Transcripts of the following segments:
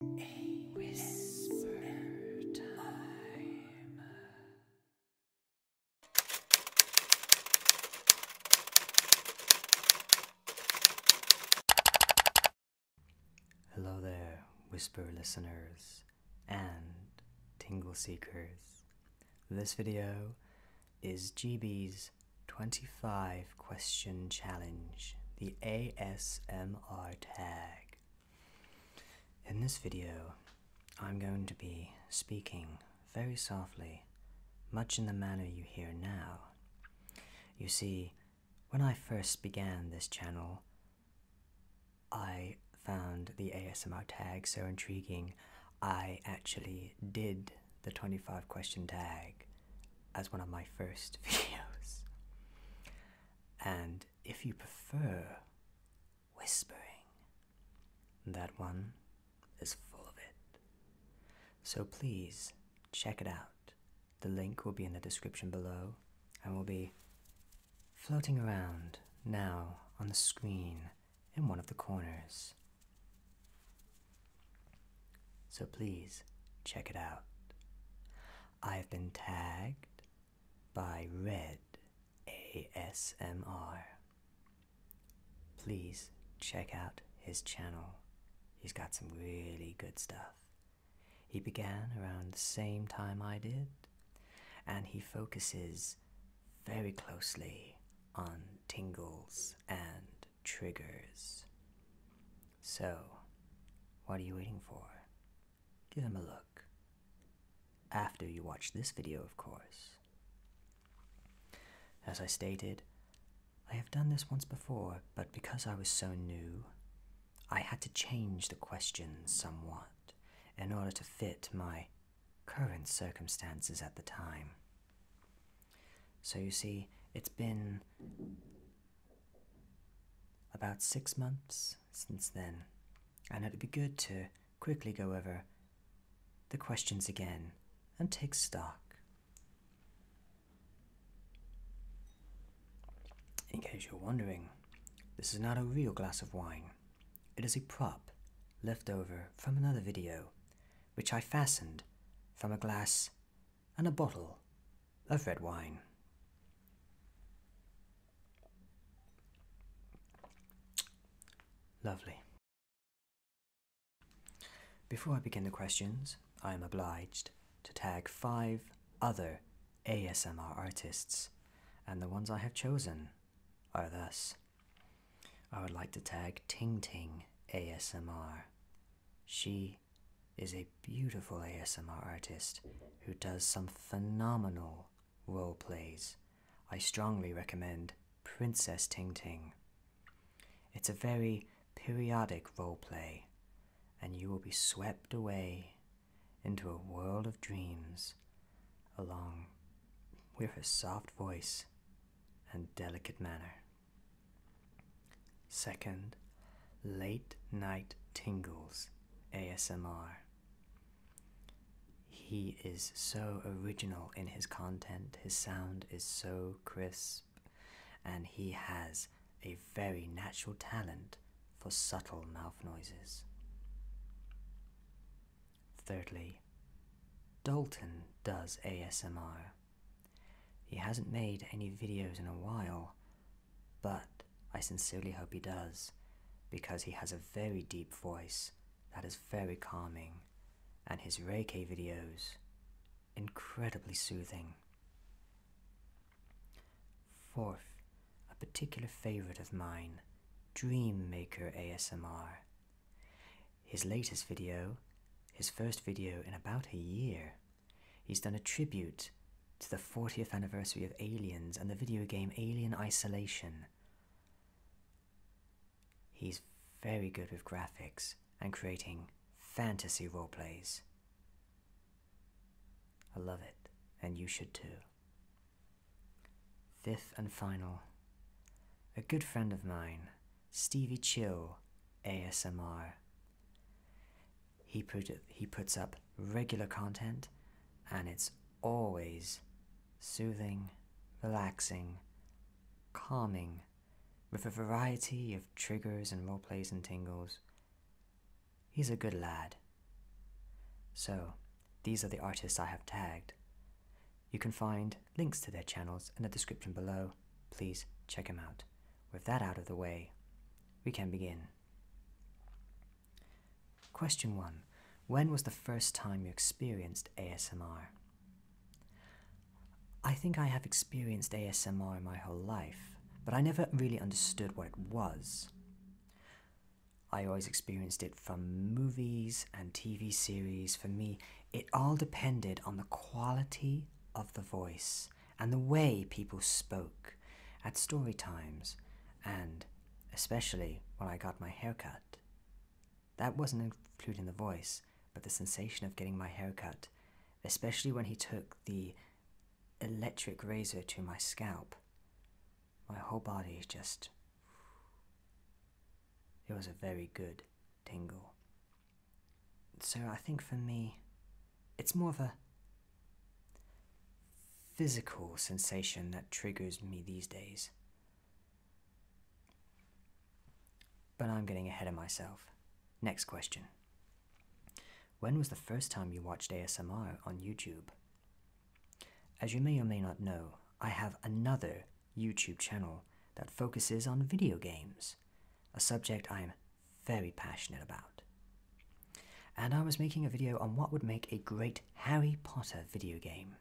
whisper Hello there, whisper listeners and tingle seekers. This video is GB's 25 question challenge, the ASMR MR tag. In this video, I'm going to be speaking very softly, much in the manner you hear now. You see, when I first began this channel, I found the ASMR tag so intriguing, I actually did the 25 question tag as one of my first videos and if you prefer whispering, that one is full of it. So please check it out. The link will be in the description below and will be floating around now on the screen in one of the corners. So please check it out. I've been tagged by Red ASMR. Please check out his channel. He's got some really good stuff. He began around the same time I did, and he focuses very closely on tingles and triggers. So, what are you waiting for? Give them a look. After you watch this video, of course. As I stated, I have done this once before, but because I was so new, I had to change the questions somewhat in order to fit my current circumstances at the time. So you see, it's been about six months since then, and it'd be good to quickly go over the questions again and take stock. In case you're wondering, this is not a real glass of wine. It is a prop left over from another video, which I fastened from a glass and a bottle of red wine. Lovely. Before I begin the questions, I am obliged to tag five other ASMR artists, and the ones I have chosen are thus. I would like to tag Ting Ting ASMR, she is a beautiful ASMR artist who does some phenomenal role plays. I strongly recommend Princess Ting Ting. It's a very periodic role play, and you will be swept away into a world of dreams along with her soft voice and delicate manner. Second, late night tingles ASMR. He is so original in his content, his sound is so crisp, and he has a very natural talent for subtle mouth noises. Thirdly, Dalton does ASMR. He hasn't made any videos in a while, but I sincerely hope he does, because he has a very deep voice that is very calming, and his Reiki videos, incredibly soothing. Fourth, a particular favorite of mine, Dream Maker ASMR. His latest video, his first video in about a year, He's done a tribute to the 40th anniversary of Aliens and the video game Alien Isolation. He's very good with graphics and creating fantasy role plays. I love it, and you should too. Fifth and final, a good friend of mine, Stevie Chill ASMR. He put he puts up regular content, and it's always soothing, relaxing, calming, with a variety of triggers and roleplays and tingles. He's a good lad. So, these are the artists I have tagged. You can find links to their channels in the description below. Please check them out with that out of the way, we can begin. Question 1. When was the first time you experienced ASMR? I think I have experienced ASMR my whole life, but I never really understood what it was. I always experienced it from movies and TV series. For me, it all depended on the quality of the voice and the way people spoke at story times and especially when I got my hair cut That wasn't including the voice, but the sensation of getting my hair cut, especially when he took the electric razor to my scalp. My whole body just. It was a very good tingle. So I think for me, it's more of a physical sensation that triggers me these days. But I'm getting ahead of myself. Next question. When was the first time you watched ASMR on YouTube? As you may or may not know, I have another YouTube channel that focuses on video games, a subject I am very passionate about. And I was making a video on what would make a great Harry Potter video game.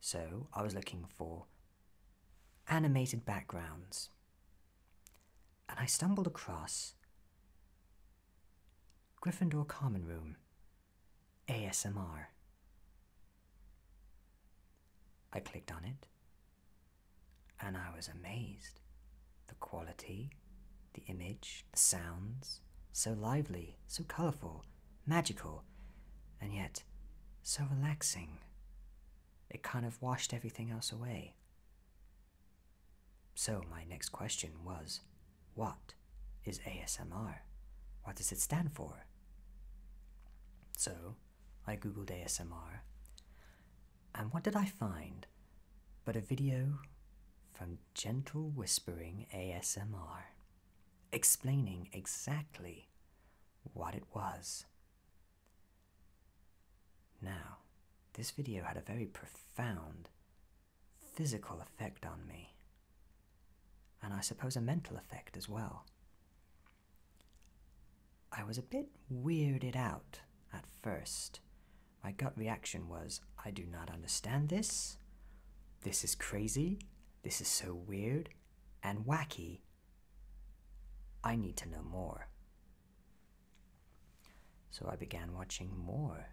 So I was looking for animated backgrounds. And I stumbled across Gryffindor Common Room ASMR. I clicked on it and I was amazed. The quality, the image, the sounds, so lively, so colourful, magical, and yet so relaxing. It kind of washed everything else away. So, my next question was what is ASMR? What does it stand for? So, I googled ASMR and what did I find but a video from Gentle Whispering ASMR explaining exactly what it was. Now, this video had a very profound physical effect on me, and I suppose a mental effect as well. I was a bit weirded out at first. My gut reaction was, I do not understand this. This is crazy. This is so weird and wacky. I need to know more. So I began watching more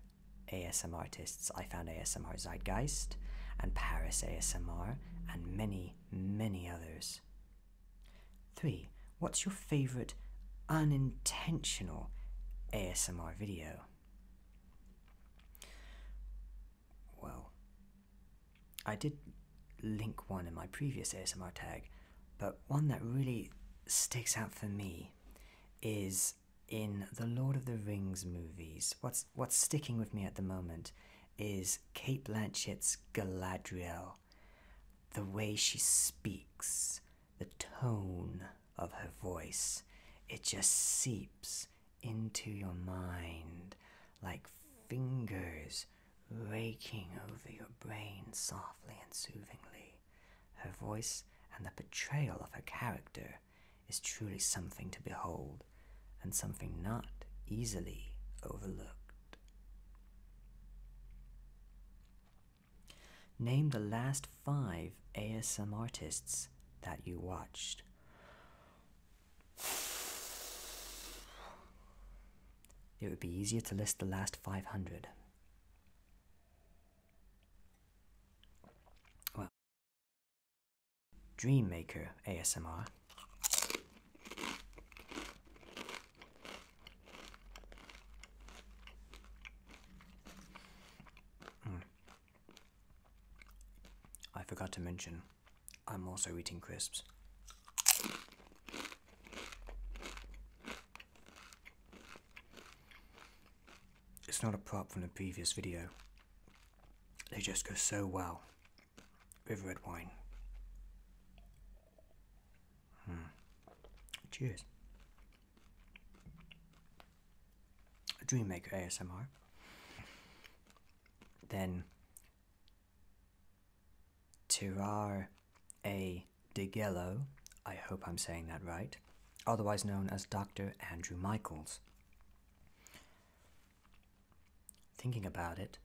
ASMR artists. I found ASMR Zeitgeist and Paris ASMR and many, many others. Three, what's your favourite unintentional ASMR video? Well, I did link one in my previous ASMR tag, but one that really sticks out for me is in the Lord of the Rings movies. What's what's sticking with me at the moment is Kate Blanchett's Galadriel the way she speaks, the tone of her voice, it just seeps into your mind like fingers raking over your brain softly and soothingly. Her voice and the portrayal of her character is truly something to behold and something not easily overlooked. Name the last five ASM artists that you watched. It would be easier to list the last 500. Well, Maker ASMR, Hmm. I forgot to mention, I'm also eating crisps. It's not a prop from the previous video. They just go so well with red wine. Mm. Cheers. Dreammaker ASMR. Then Tirar A. DeGello, I hope I'm saying that right, otherwise known as Dr. Andrew Michaels. Thinking about it,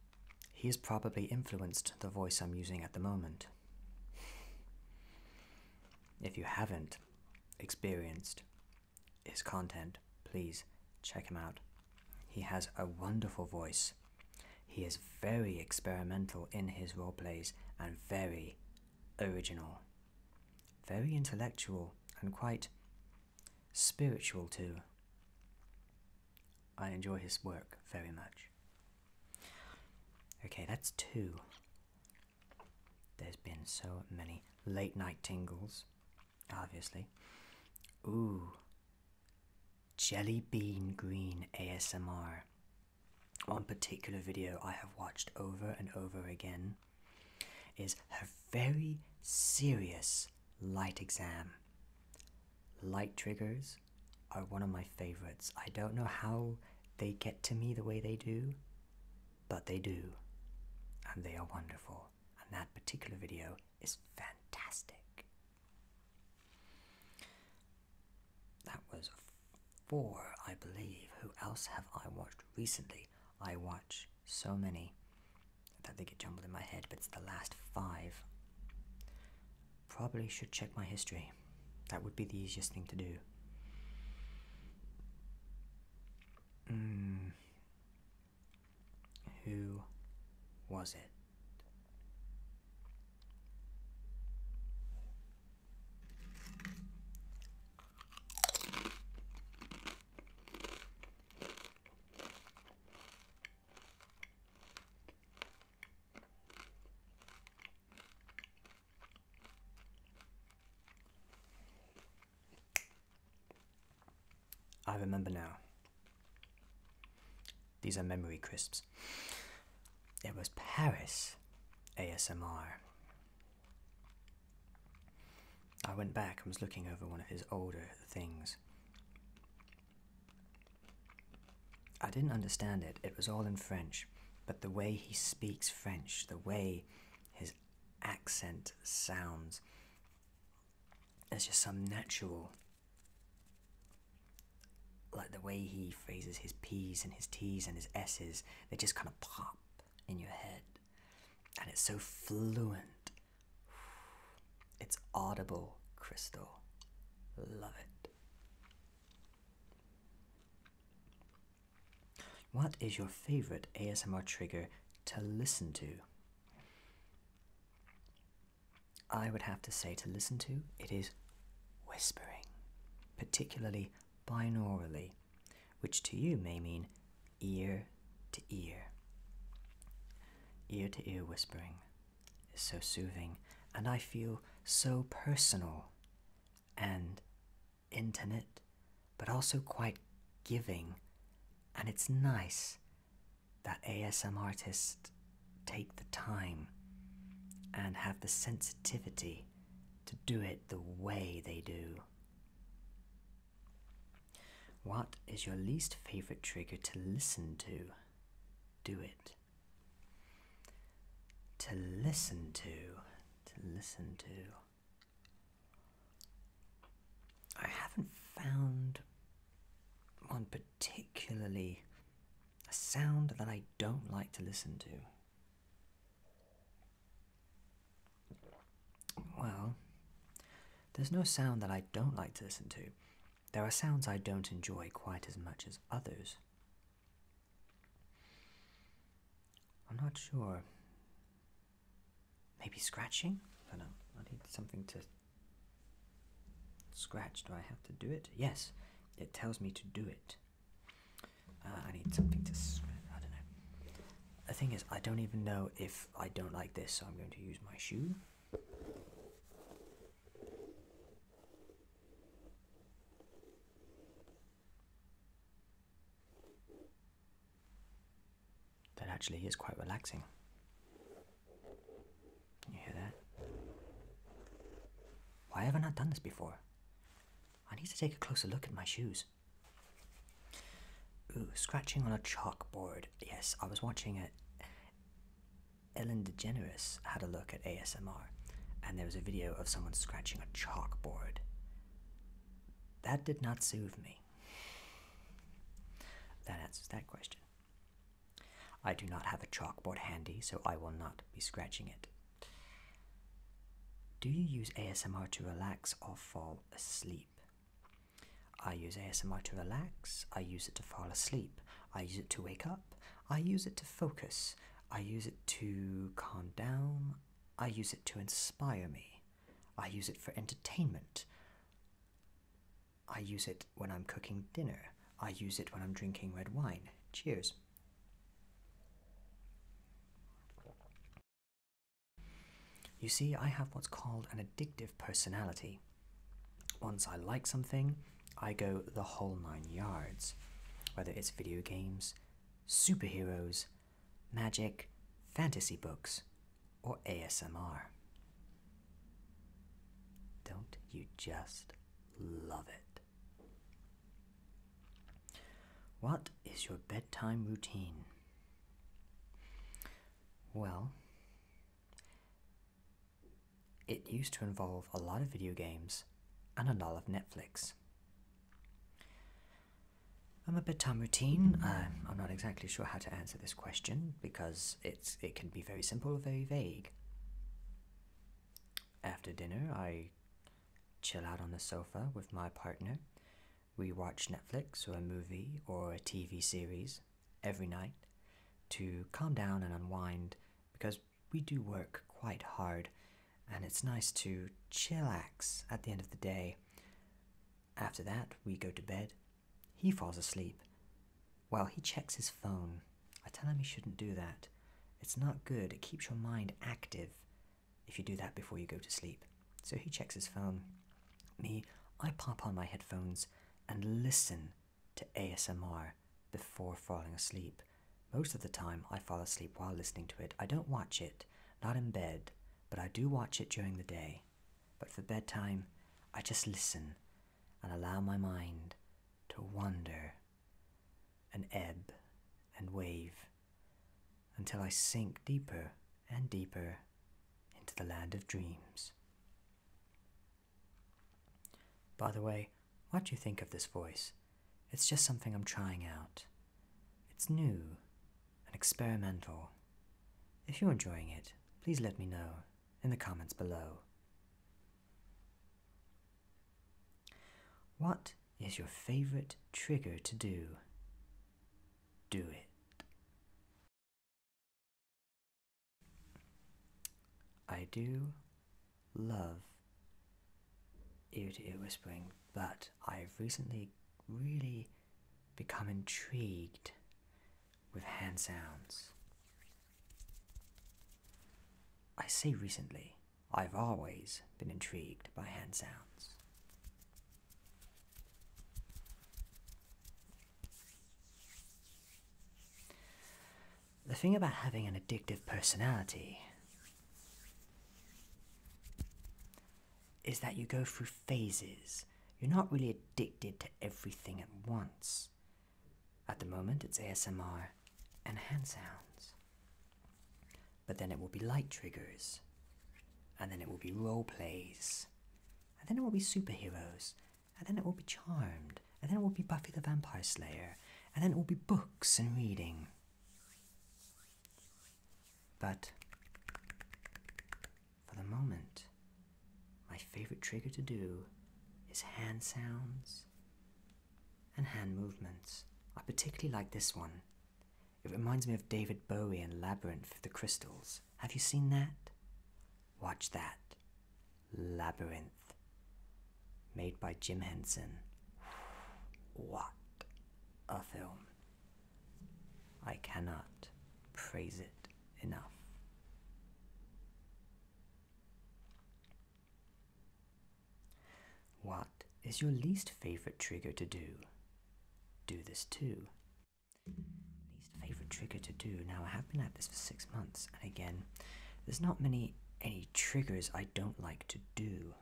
he has probably influenced the voice I'm using at the moment. If you haven't experienced his content, please check him out. He has a wonderful voice. He is very experimental in his role plays and very original. Very intellectual and quite spiritual too. I enjoy his work very much. Okay, that's two. There's been so many late night tingles, obviously. Ooh, Jelly Bean Green ASMR. One particular video I have watched over and over again is her very serious light exam light triggers are one of my favorites. I don't know how they get to me the way they do, but they do. And they are wonderful. And that particular video is fantastic. That was four, I believe. Who else have I watched recently? I watch so many that they get jumbled in my head, but it's the last five probably should check my history. That would be the easiest thing to do. Hmm. Who was it? I remember now. These are memory crisps. It was Paris ASMR. I went back and was looking over one of his older things. I didn't understand it, it was all in French, but the way he speaks French, the way his accent sounds, it's just some natural. Like the way he phrases his P's and his T's and his S's, they just kind of pop in your head. And it's so fluent. It's audible crystal. Love it. What is your favorite ASMR trigger to listen to? I would have to say to listen to it is whispering, particularly binaurally, which to you may mean ear to ear. Ear to ear whispering so soothing, and I feel so personal and intimate, but also quite giving. And it's nice that ASM artists take the time and have the sensitivity to do it the way they do. What is your least favorite trigger to listen to? do it. To listen to. To listen to. I haven't found one particularly. a sound that I don't like to listen to. Well, there's no sound that I don't like to listen to. There are sounds I don't enjoy quite as much as others. I'm not sure. Maybe scratching? I don't I need something to scratch. Do I have to do it? Yes, it tells me to do it. Uh, I need something to I don't know. The thing is, I don't even know if I don't like this, so I'm going to use my shoe. That actually is quite relaxing. You hear that? Why haven't I done this before? I need to take a closer look at my shoes. Ooh, scratching on a chalkboard. Yes, I was watching it. Ellen DeGeneres had a look at ASMR, and there was a video of someone scratching a chalkboard. That did not soothe me. That answers that question. I do not have a chalkboard handy, so I will not be scratching it. Do you use ASMR to relax or fall asleep? I use ASMR to relax, I use it to fall asleep, I use it to wake up, I use it to focus, I use it to calm down, I use it to inspire me, I use it for entertainment, I use it when I'm cooking dinner, I use it when I'm drinking red wine. Cheers. You see, I have what's called an addictive personality. Once I like something, I go the whole nine yards. Whether it's video games, superheroes, magic, fantasy books, or ASMR. Don't you just love it? What is your bedtime routine? Well, it used to involve a lot of video games and a lot of Netflix. I'm a bit bedtime routine. I'm not exactly sure how to answer this question because it's it can be very simple or very vague. After dinner, I chill out on the sofa with my partner. We watch Netflix or a movie or a TV series every night to calm down and unwind because we do work quite hard and it's nice to chillax at the end of the day. After that, we go to bed. He falls asleep. While he checks his phone, I tell him he shouldn't do that. It's not good, it keeps your mind active if you do that before you go to sleep. So he checks his phone. Me, I pop on my headphones and listen to ASMR before falling asleep. Most of the time, I fall asleep while listening to it. I don't watch it, not in bed, but I do watch it during the day. But for bedtime, I just listen and allow my mind to wander and ebb and wave until I sink deeper and deeper into the land of dreams. By the way, what do you think of this voice? It's just something I'm trying out. It's new and experimental. If you're enjoying it, please let me know in the comments below. What is your favorite trigger to do? Do it. I do love ear to ear whispering, but I've recently really become intrigued with hand sounds. I say recently, I've always been intrigued by hand sounds. The thing about having an addictive personality is that you go through phases. You're not really addicted to everything at once. At the moment, it's ASMR and hand sounds. But then it will be light triggers, and then it will be role plays, and then it will be superheroes, and then it will be Charmed, and then it will be Buffy the Vampire Slayer, and then it will be books and reading. But for the moment, my favorite trigger to do is hand sounds and hand movements. I particularly like this one. It reminds me of David Bowie and Labyrinth of the Crystals. Have you seen that? Watch that. Labyrinth, made by Jim Henson. What a film! I cannot praise it enough. What is your least favorite trigger to do? Do this too. Least favorite trigger to do. Now I have been at this for six months, and again, there's not many any triggers I don't like to do.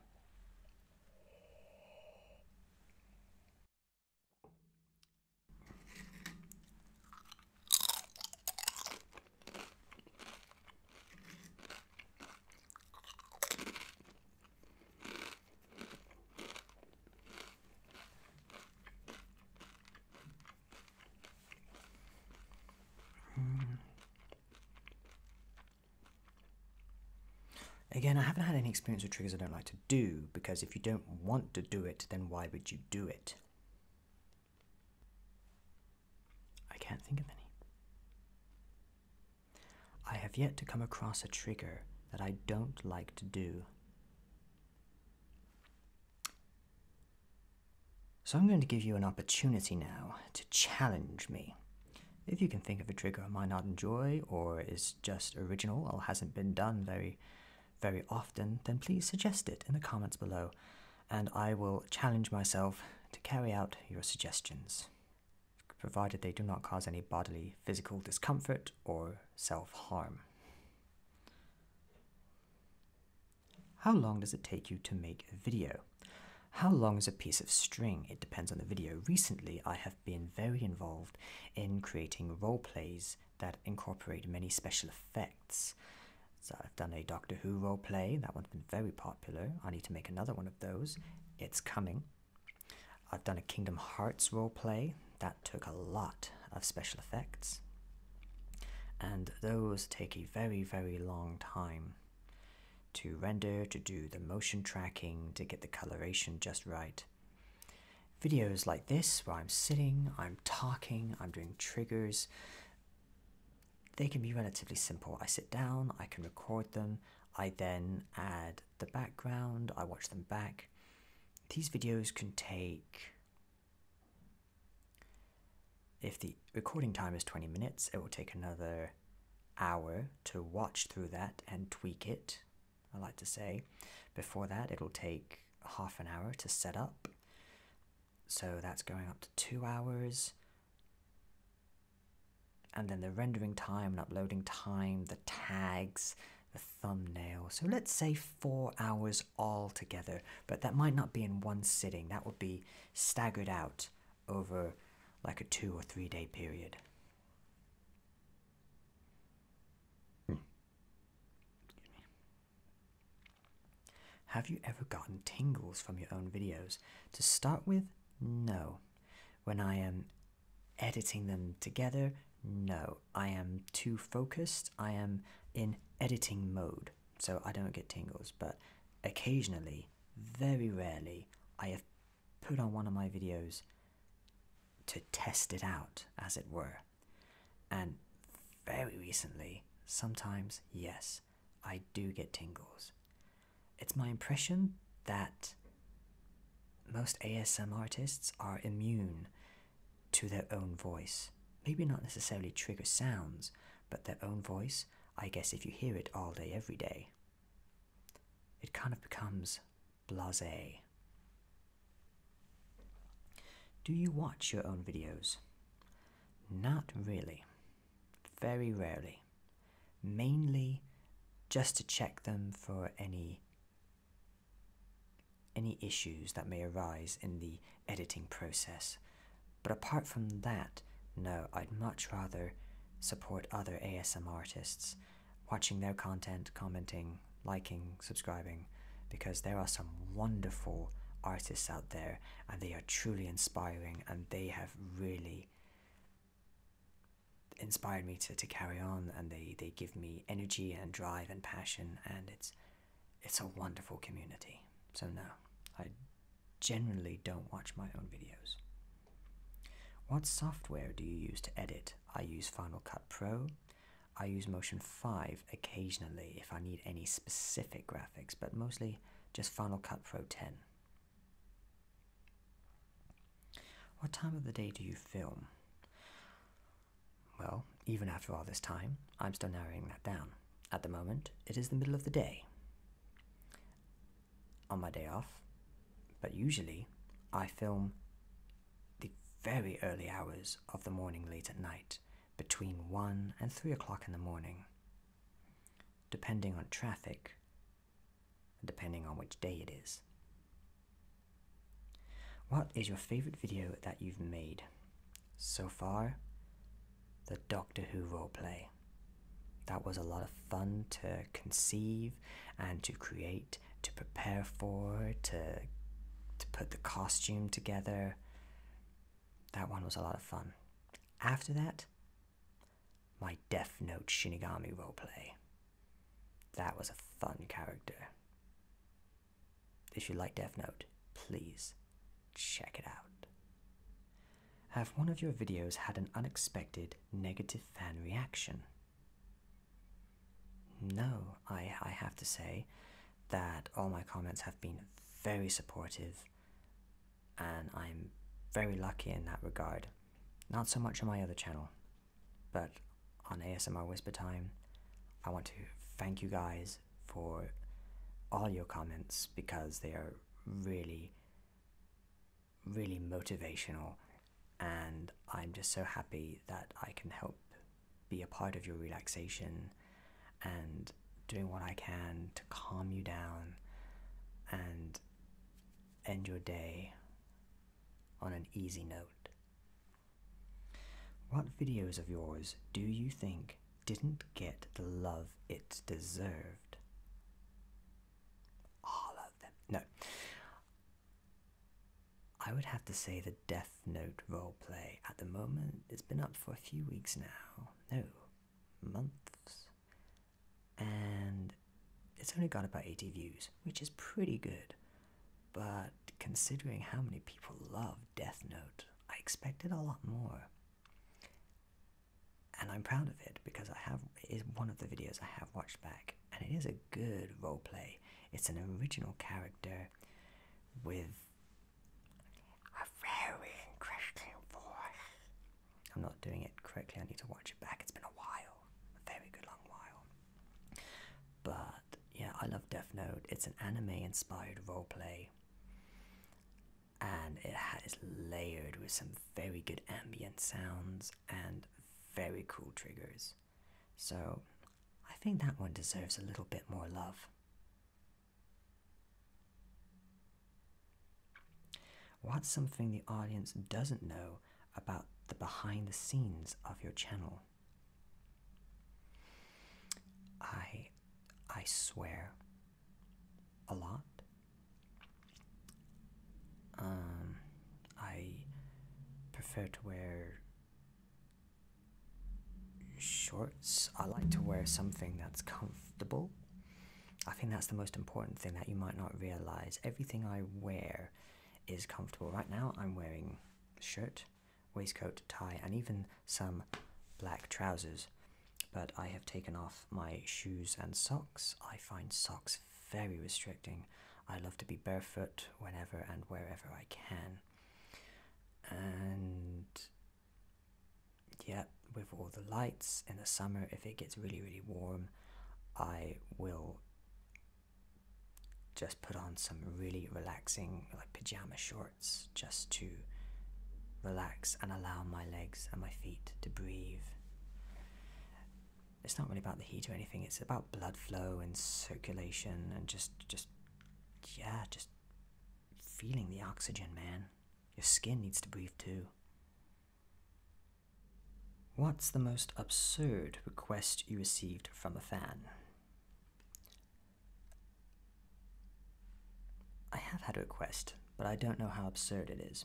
Hmm. Again, I haven't had any experience with triggers I don't like to do because if you don't want to do it, then why would you do it? I can't think of any. I have yet to come across a trigger that I don't like to do. So I'm going to give you an opportunity now to challenge me. If you can think of a trigger I might not enjoy or is just original or hasn't been done very, very often, then please suggest it in the comments below and I will challenge myself to carry out your suggestions, provided they do not cause any bodily physical discomfort or self harm. How long does it take you to make a video? How long is a piece of string? It depends on the video. Recently, I have been very involved in creating role plays that incorporate many special effects. So I've done a Doctor Who role play, that one's been very popular. I need to make another one of those. It's coming. I've done a Kingdom Hearts role play, that took a lot of special effects, and those take a very, very long time to render, to do the motion tracking, to get the coloration just right. Videos like this, where I'm sitting, I'm talking, I'm doing triggers, they can be relatively simple. I sit down, I can record them, I then add the background, I watch them back. These videos can take if the recording time is 20 minutes, it will take another hour to watch through that and tweak it, I like to say. Before that, it'll take half an hour to set up. So that's going up to two hours. And then the rendering time and uploading time, the tags, the thumbnail. So let's say four hours altogether, but that might not be in one sitting. That would be staggered out over like a two or three day period. Hmm. Have you ever gotten tingles from your own videos? To start with, no. When I am editing them together, no. I am too focused. I am in editing mode, so I don't get tingles. But occasionally, very rarely, I have put on one of my videos to test it out, as it were. And very recently, sometimes, yes, I do get tingles. It's my impression that most ASM artists are immune to their own voice. Maybe not necessarily trigger sounds, but their own voice, I guess if you hear it all day, every day, it kind of becomes blase. Do you watch your own videos? Not really. Very rarely. Mainly just to check them for any any issues that may arise in the editing process. But apart from that, no, I'd much rather support other ASM artists, watching their content, commenting, liking, subscribing, because there are some wonderful artists out there and they are truly inspiring and they have really inspired me to, to carry on and they, they give me energy and drive and passion and it's it's a wonderful community. So, no, I generally don't watch my own videos. What software do you use to edit? I use Final Cut Pro. I use Motion 5 occasionally if I need any specific graphics, but mostly just Final Cut Pro 10. What time of the day do you film? Well, even after all this time, I'm still narrowing that down. At the moment, it is the middle of the day. On my day off, but usually I film the very early hours of the morning late at night, between 1 and 3 o'clock in the morning. Depending on traffic, depending on which day it is. What is your favorite video that you've made? So far, the Doctor Who role play. That was a lot of fun to conceive and to create, to prepare for, to, to put the costume together. That one was a lot of fun. After that, my Death Note Shinigami role play. That was a fun character. If you like Death please check it out. Have one of your videos had an unexpected negative fan reaction? No, I, I have to say that all my comments have been very supportive and I'm very lucky in that regard. Not so much on my other channel, but on ASMR Whisper Time, I want to thank you guys for all your comments because they are really, really motivational. And I'm just so happy that I can help be a part of your relaxation and doing what I can to calm you down and end your day on an easy note. What videos of yours do you think didn't get the love it deserved? All of them. No. I would have to say the Death Note roleplay at the moment. It's been up for a few weeks now. No, months. And it's only got about 80 views, which is pretty good. But considering how many people love Death Note, I expected a lot more. And I'm proud of it because I have it is one of the videos I have watched back, and it is a good roleplay. It's an original character with a very interesting voice. I'm not doing it correctly, I need to watch it back. It's been a while, a very good long while. But yeah, I love Death Note. It's an anime-inspired roleplay, and it is layered with some very good ambient sounds and very cool triggers. So I think that one deserves a little bit more love. What's something the audience doesn't know about the behind the scenes of your channel? I I swear a lot. Um I prefer to wear shorts. I like to wear something that's comfortable. I think that's the most important thing that you might not realize. Everything I wear is comfortable. Right now I'm wearing a shirt waistcoat, tie, and even some black trousers. But I have taken off my shoes and socks. I find socks very restricting. I love to be barefoot whenever and wherever I can. And yeah, with all the lights in the summer, if it gets really, really warm, I will just put on some really relaxing like pajama shorts just to relax and allow my legs and my feet to breathe. It's not really about the heat or anything, it's about blood flow and circulation and just just yeah, just feeling the oxygen, man. Your skin needs to breathe too. What's the most absurd request you received from a fan? I have had a request, but I don't know how absurd it is.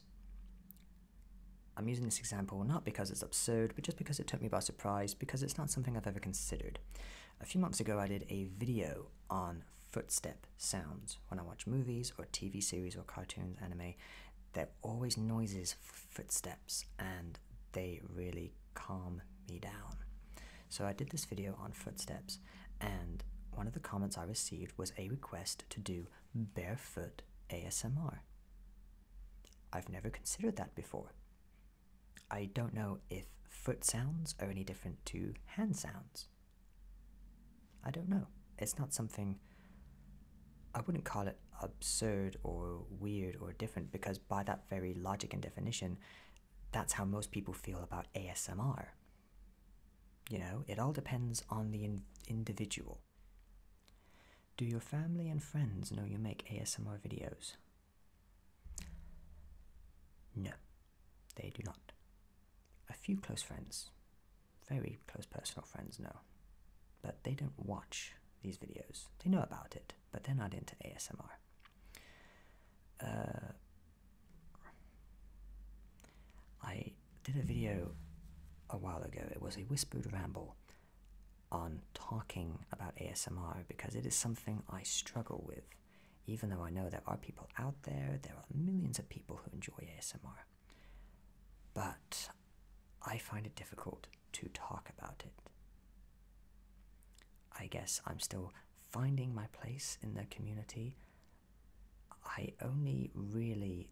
I'm using this example not because it's absurd, but just because it took me by surprise, because it's not something I've ever considered. A few months ago, I did a video on footstep sounds. When I watch movies or TV series or cartoons, anime, there are always noises footsteps and they really calm me down. So I did this video on footsteps and one of the comments I received was a request to do barefoot ASMR. I've never considered that before. I don't know if foot sounds are any different to hand sounds. I don't know. It's not something I wouldn't call it absurd or weird or different because by that very logic and definition, that's how most people feel about ASMR. You know, it all depends on the individual. Do your family and friends know you make ASMR videos? No, they do not. A few close friends, very close personal friends know, but they don't watch these videos. They know about it, but they're not into ASMR. Uh, I did a video a while ago. It was a whispered ramble on talking about ASMR because it is something I struggle with, even though I know there are people out there, there are millions of people who enjoy ASMR. But I find it difficult to talk about it. I guess I'm still finding my place in the community. I only really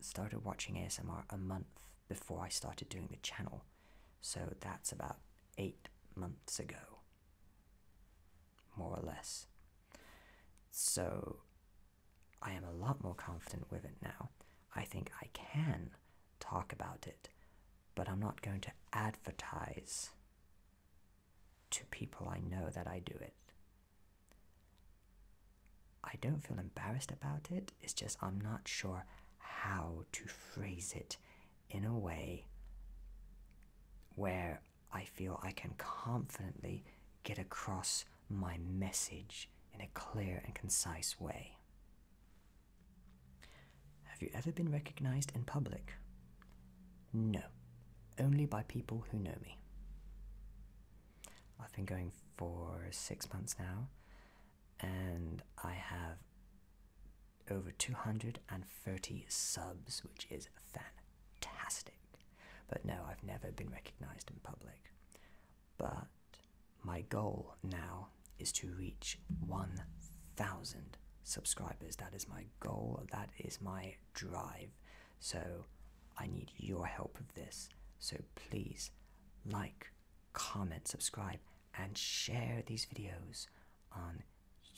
started watching ASMR a month before I started doing the channel, so that's about eight months ago, more or less. So I am a lot more confident with it now. I think I can talk about it, but I'm not going to advertise to people I know that I do it. I don't feel embarrassed about it, it's just I'm not sure how to phrase it in a way where I feel I can confidently get across my message in a clear and concise way. Have you ever been recognized in public? No, only by people who know me. I've been going for six months now, and I have over 230 subs, which is fantastic. But no, I've never been recognized in public. But my goal now is to reach 1,000 subscribers. That is my goal, that is my drive. So I need your help with this. So please like, comment, subscribe, and share these videos on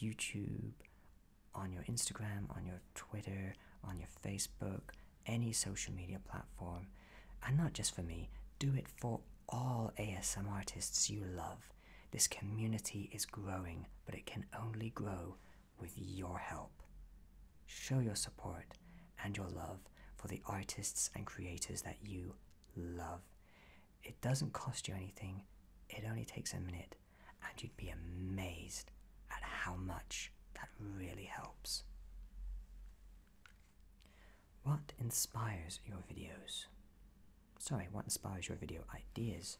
YouTube, on your Instagram, on your Twitter, on your Facebook, any social media platform. And not just for me, do it for all ASM artists you love. This community is growing, but it can only grow with your help. Show your support and your love for the artists and creators that you love. It doesn't cost you anything, it only takes a minute, and you'd be amazed at how much that really helps. What inspires your videos? Sorry, what inspires your video ideas?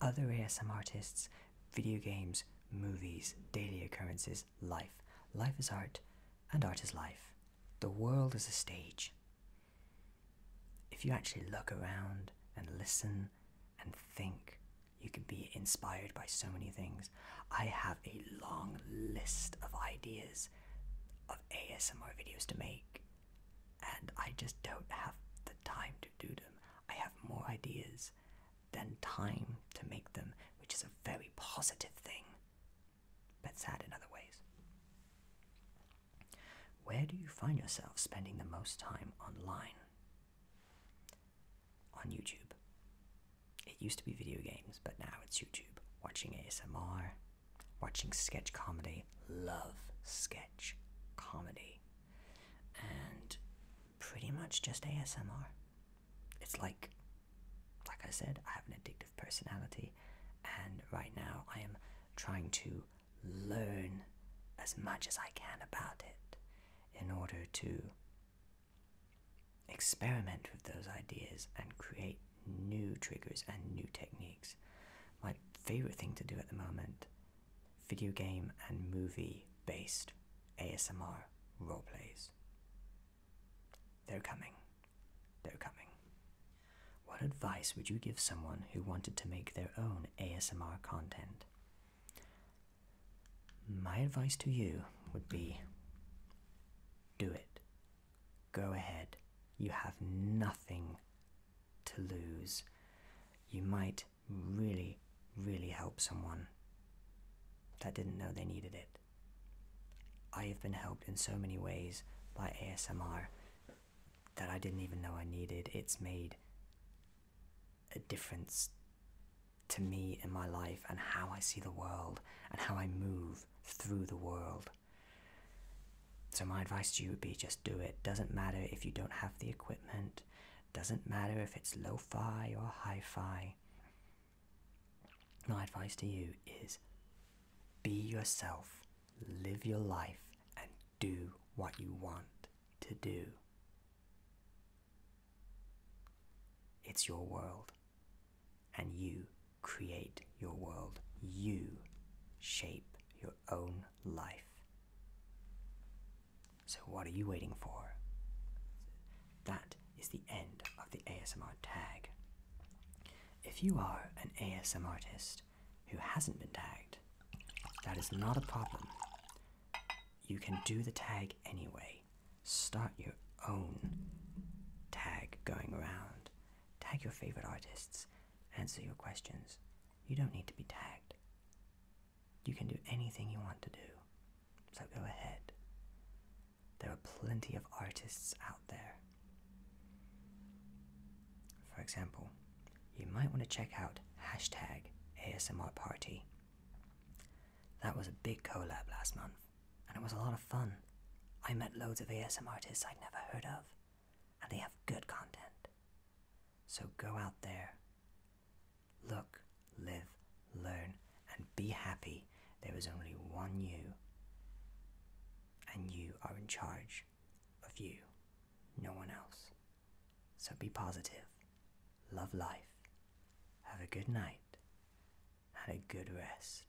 Other ASM artists, video games, movies, daily occurrences, life. Life is art, and art is life. The world is a stage. If you actually look around and listen and think, you can be inspired by so many things. I have a long list of ideas of ASMR videos to make, and I just don't have the time to do them. I have more ideas than time to make them, which is a very positive thing, but sad in other ways. Where do you find yourself spending the most time online? On YouTube. It used to be video games, but now it's YouTube. Watching ASMR, watching sketch comedy, love sketch comedy, and pretty much just ASMR. It's like, like I said, I have an addictive personality, and right now I am trying to learn as much as I can about it in order to Experiment with those ideas and create new triggers and new techniques. My favorite thing to do at the moment video game and movie based ASMR roleplays. They're coming. They're coming. What advice would you give someone who wanted to make their own ASMR content? My advice to you would be do it. Go ahead. You have nothing to lose. You might really, really help someone that didn't know they needed it. I have been helped in so many ways by ASMR that I didn't even know I needed. It's made a difference to me in my life and how I see the world and how I move through the world. So, my advice to you would be just do it. Doesn't matter if you don't have the equipment, doesn't matter if it's lo fi or hi fi. My advice to you is be yourself, live your life, and do what you want to do. It's your world and you create your world. You shape your own life. So, what are you waiting for? That is the end of the ASMR tag. If you are an ASMR artist who hasn't been tagged, that is not a problem. You can do the tag anyway. Start your own tag going around. Tag your favorite artists. Answer your questions. You don't need to be tagged. You can do anything you want to do. So go ahead. There are plenty of artists out there. For example, you might want to check out hashtag ASMR Party. That was a big collab last month and it was a lot of fun. I met loads of ASM artists I'd never heard of, and they have good content. So go out there, look, live, learn, and be happy. There is only one you, and you are in charge of you, no one else. So be positive, love life, have a good night, had a good rest.